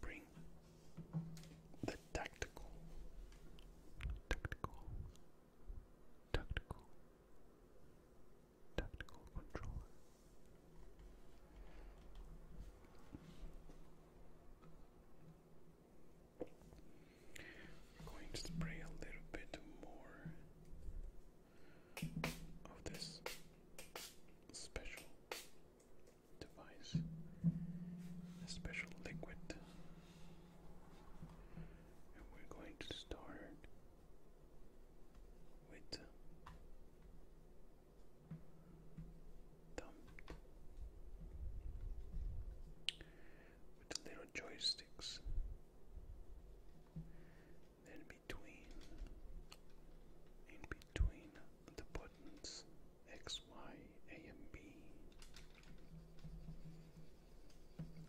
Bring the tactical, tactical, tactical, tactical controller. We're going to spray a little bit more of this special device, a special liquid, and we're going to start with thumb little joysticks. Then between, in between the buttons X, Y, A, and B.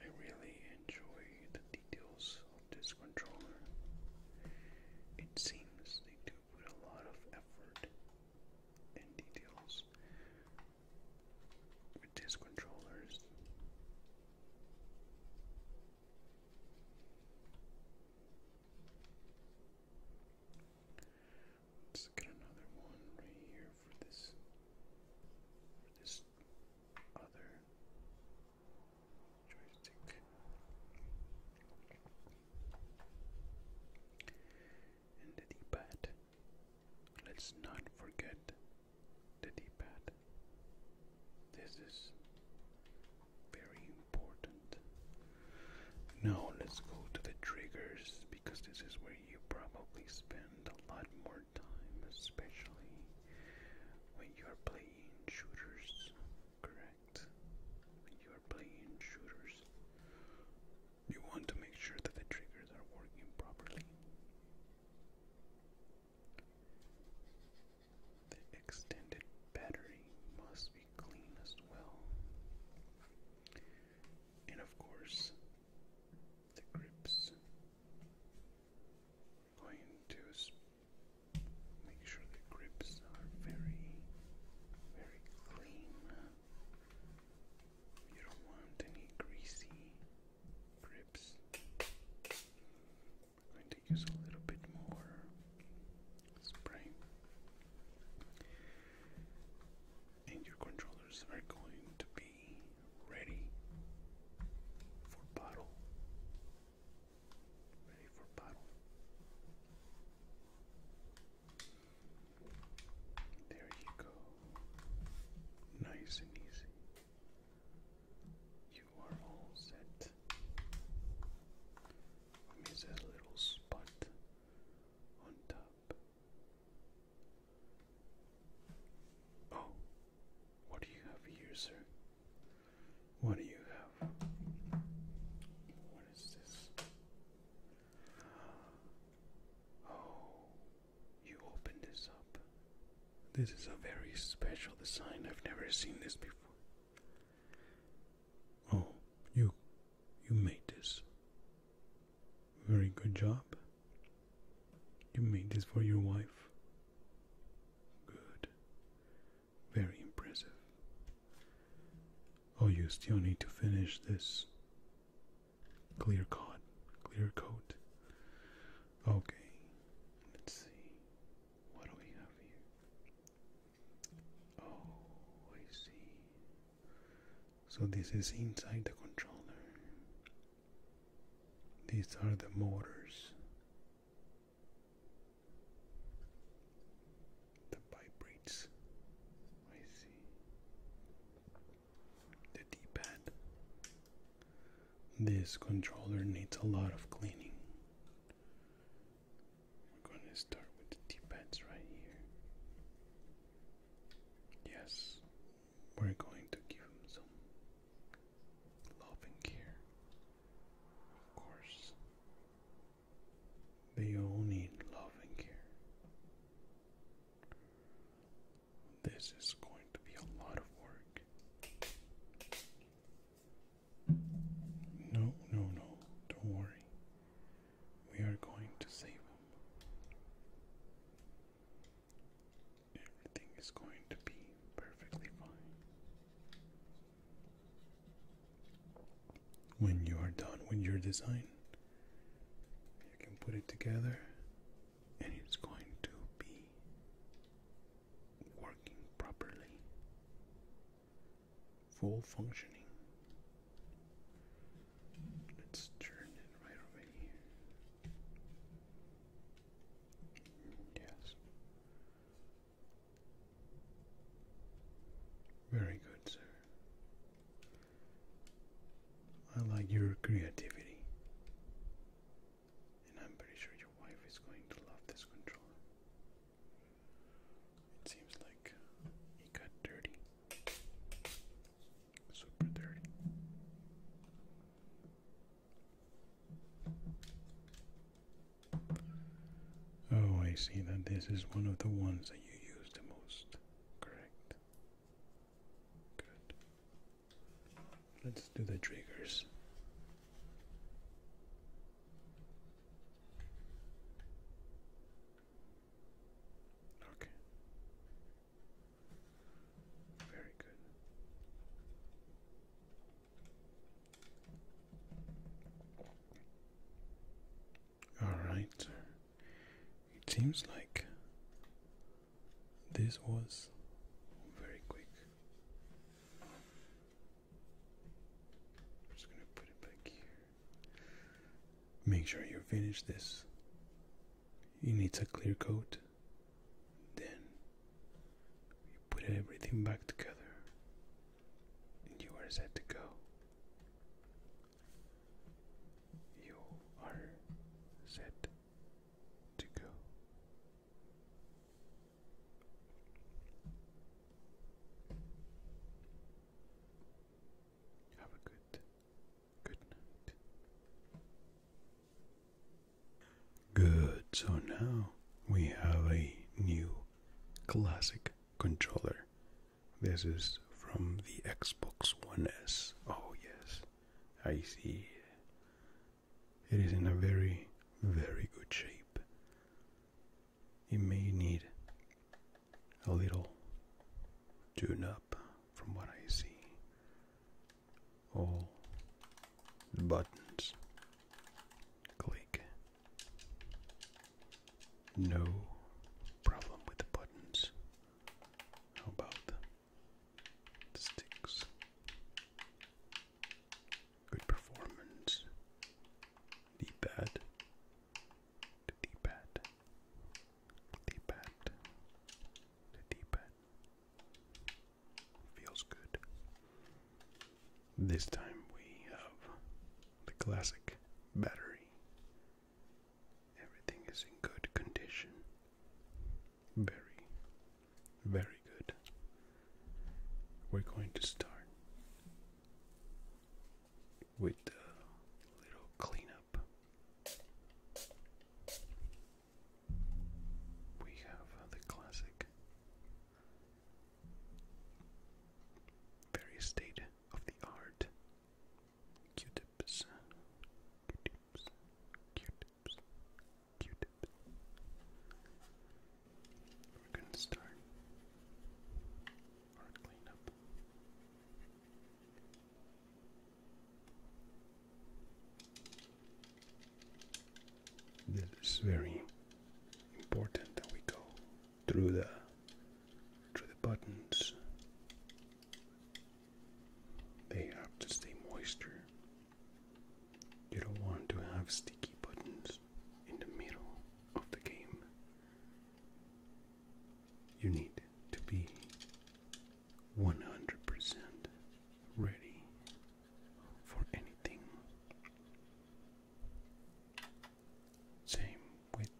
I really enjoy the details of this controller. It seems they do put a lot of effort and details with these controllers. Let's get another one right here for this for this other joystick. And the D-pad. Let's not forget the D-pad. This is very important. Now let's go to the triggers because this is where you probably spend a lot more time, especially when you are playing shooters, correct? When you are playing shooters, you want to make sure that the triggers are working properly. The extended battery must be clean as well. And of course, the grips. going to make sure the grips are very, very clean. You don't want any greasy grips. going to use a little bit more spray. And your controllers are going to be ready for battle. Ready for battle. There you go. Nice and easy. You are all set. I miss that little spot on top. Oh, what do you have here, sir? What do you have? What is this? Oh, you opened this up. This is a very special design. I've never seen this before. Oh, you you made this. Very good job. You made this for your wife. Good. Very impressive. Oh, you still need to finish this clear coat. Clear coat. Okay. Let's see. What do we have here? Oh, I see. So this is inside the controller. These are the motors. The vibrates. I see. The D-pad. This controller needs a lot of cleaning. We're going to start with the T-pads right here. Yes, we're going to give him some love care. Of course, they all need love care. This is going to be a lot of work. No, no, no. Don't worry. We are going to save him. Everything is going to be perfectly fine. When you are done with your design, you can put it together and it's going to be working properly full functioning. Let's turn it right over Yes. Very good, sir. I like your creativity. And I'm pretty sure your wife is going to love this controller. It seems like he got dirty. Super dirty. Oh, I see that this is one of the ones that you use the most. Correct. Good. Let's do the triggers. Okay. Very good. All right, It seems like this was very quick. I'm just going to put it back here. Make sure you finish this. You need a clear coat. Then you put everything back together and you are set to go. You are set to go. Have a good, good night. Good, so now we have a new classic controller. This is from the Xbox One S. Oh, yes, I see. It is in a very, very good shape you may need a little tune up from what I see. All buttons click. No problem with the buttons. How about the sticks? Good performance. D-pad, the pad the pad the pad Feels good. This time we have the classic battery. Everything is in good condition. Very, very good. We're going to start with a little cleanup. We have uh, the classic, very state of the art Q-tips, Q-tips, Q-tips, Q-tips. We're going to start our cleanup. This is very important that we go through the through the buttons. They have to stay moisture. You don't want to have sticky buttons in the middle of the game. You need to be 100% ready for anything. Same with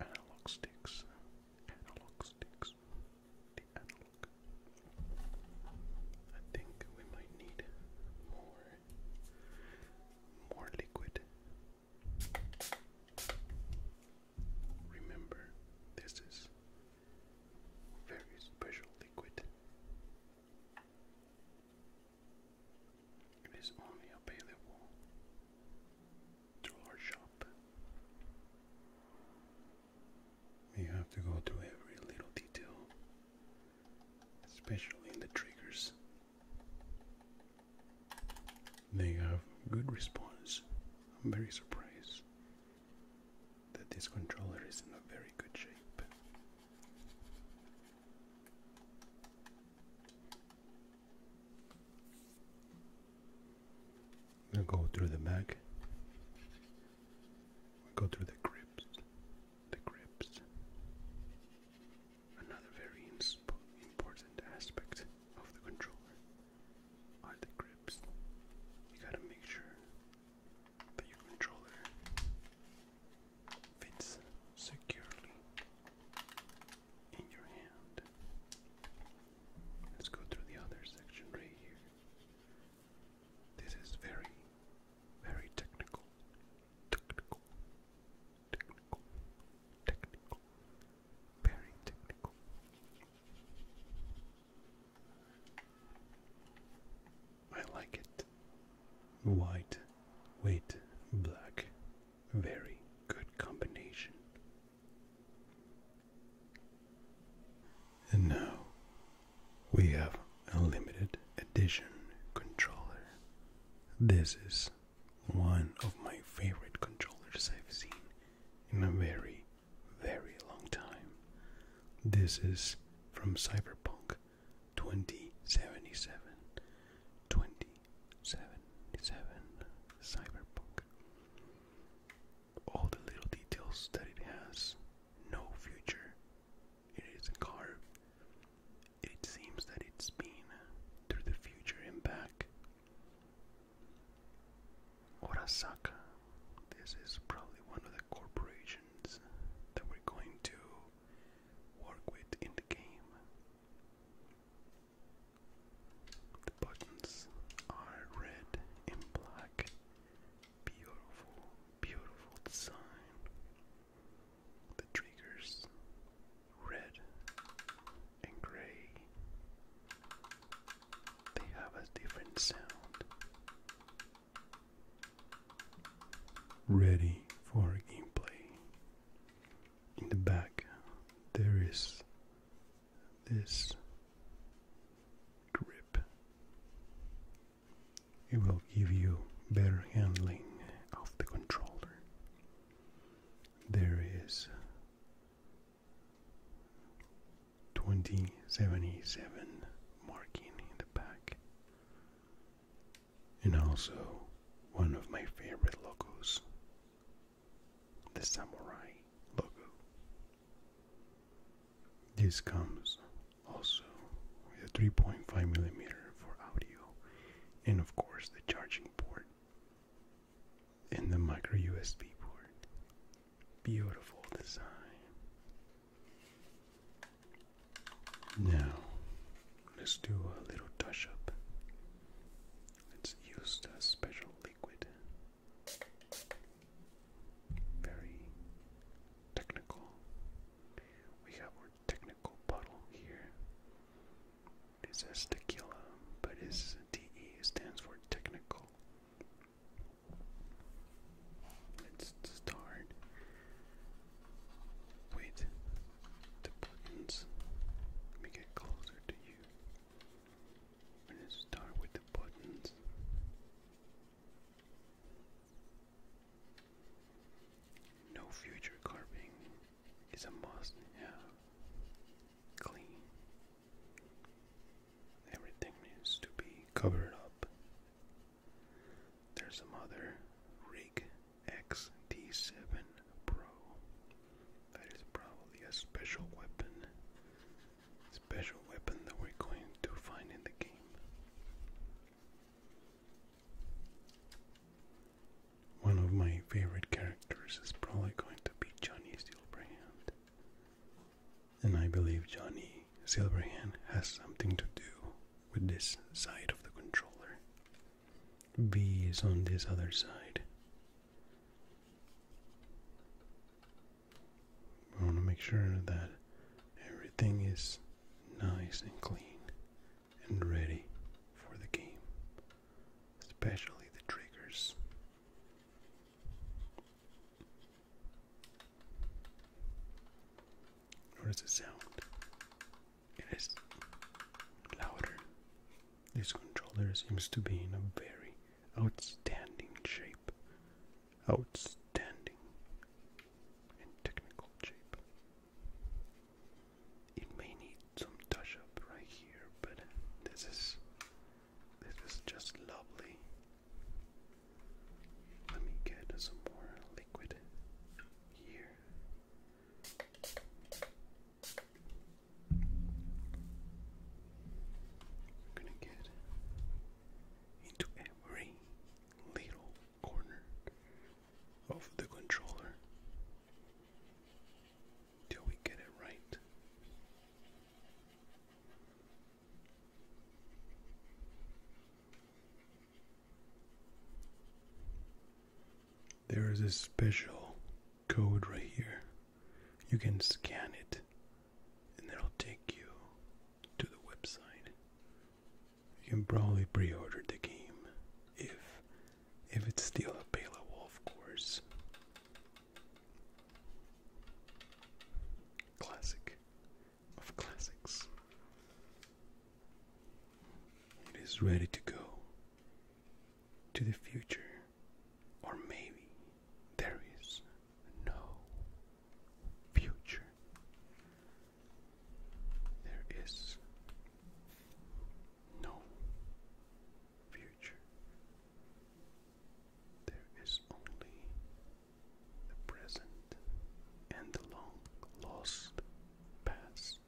analog sticks. Analog sticks. The analog. I think we might need more more liquid. Remember, this is very special liquid. It is only available through our shop. You have to go through every little detail especially in the triggers. They have good response. I'm very surprised that this controller is in a very good shape. We'll go through the back. We'll go through the grips the grips. Another very important aspect of the controller are the grips. You gotta make sure that your controller fits securely in your hand. Let's go through the other section right here. This is very very technical, technical, technical, technical, very technical. I like it. White, white, black, very good combination. And now we have a limited edition controller. This is one of my favorite controllers I've seen in a very, very long time. This is from Cyberpunk 2077. Cyberpunk. All the little details that it has, no future, it carved. It seems that it's been through the future and back. Orasaka. This is probably one of the corporations that we're going to work with in the game. The buttons are red and black Beautiful, beautiful design. The triggers red and gray. They have a different sound. Ready for gameplay. In the back, there is this grip it will give you better handling of the controller. There is 2077 marking in the back, and also one of my favorite logos the samurai logo. This comes also with a 3.5 millimeter for audio, and of course the charging port and the micro USB port. Beautiful design. Now, let's do a little touch up. Let's use the special liquid. Very technical we have our technical puddle here. It says tequila, but it's T E stands for technical. Let's start with the buttons. Let me closer to you. We're gonna start with the buttons. No future carving is a must have. Clean. Everything needs to be covered up. There's some Rig XD7 Pro. That is probably a special weapon. Special weapon that we're going to find in the game. One of my favorite characters is probably going to be Johnny Silverhand. And I believe Johnny Silverhand has something to do with this side of the controller. V is on this other side. I want to make sure that everything is nice and clean and ready for the game, especially the triggers. Notice the sound. It is louder. This controller seems to be in a very outstanding shape outstanding and technical shape. It may need some touch up right here, but this is this is just lovely. Let me get some more liquid here. I'm gonna get into every little corner of the controller till we get it right. There is a special code right here. You can scan it and it'll take you to the website you can probably pre-order the game if if it's still available, of course. Classic of classics. It is ready to go to the future, or maybe there is no future. There is no future. There is only the present and the long lost past.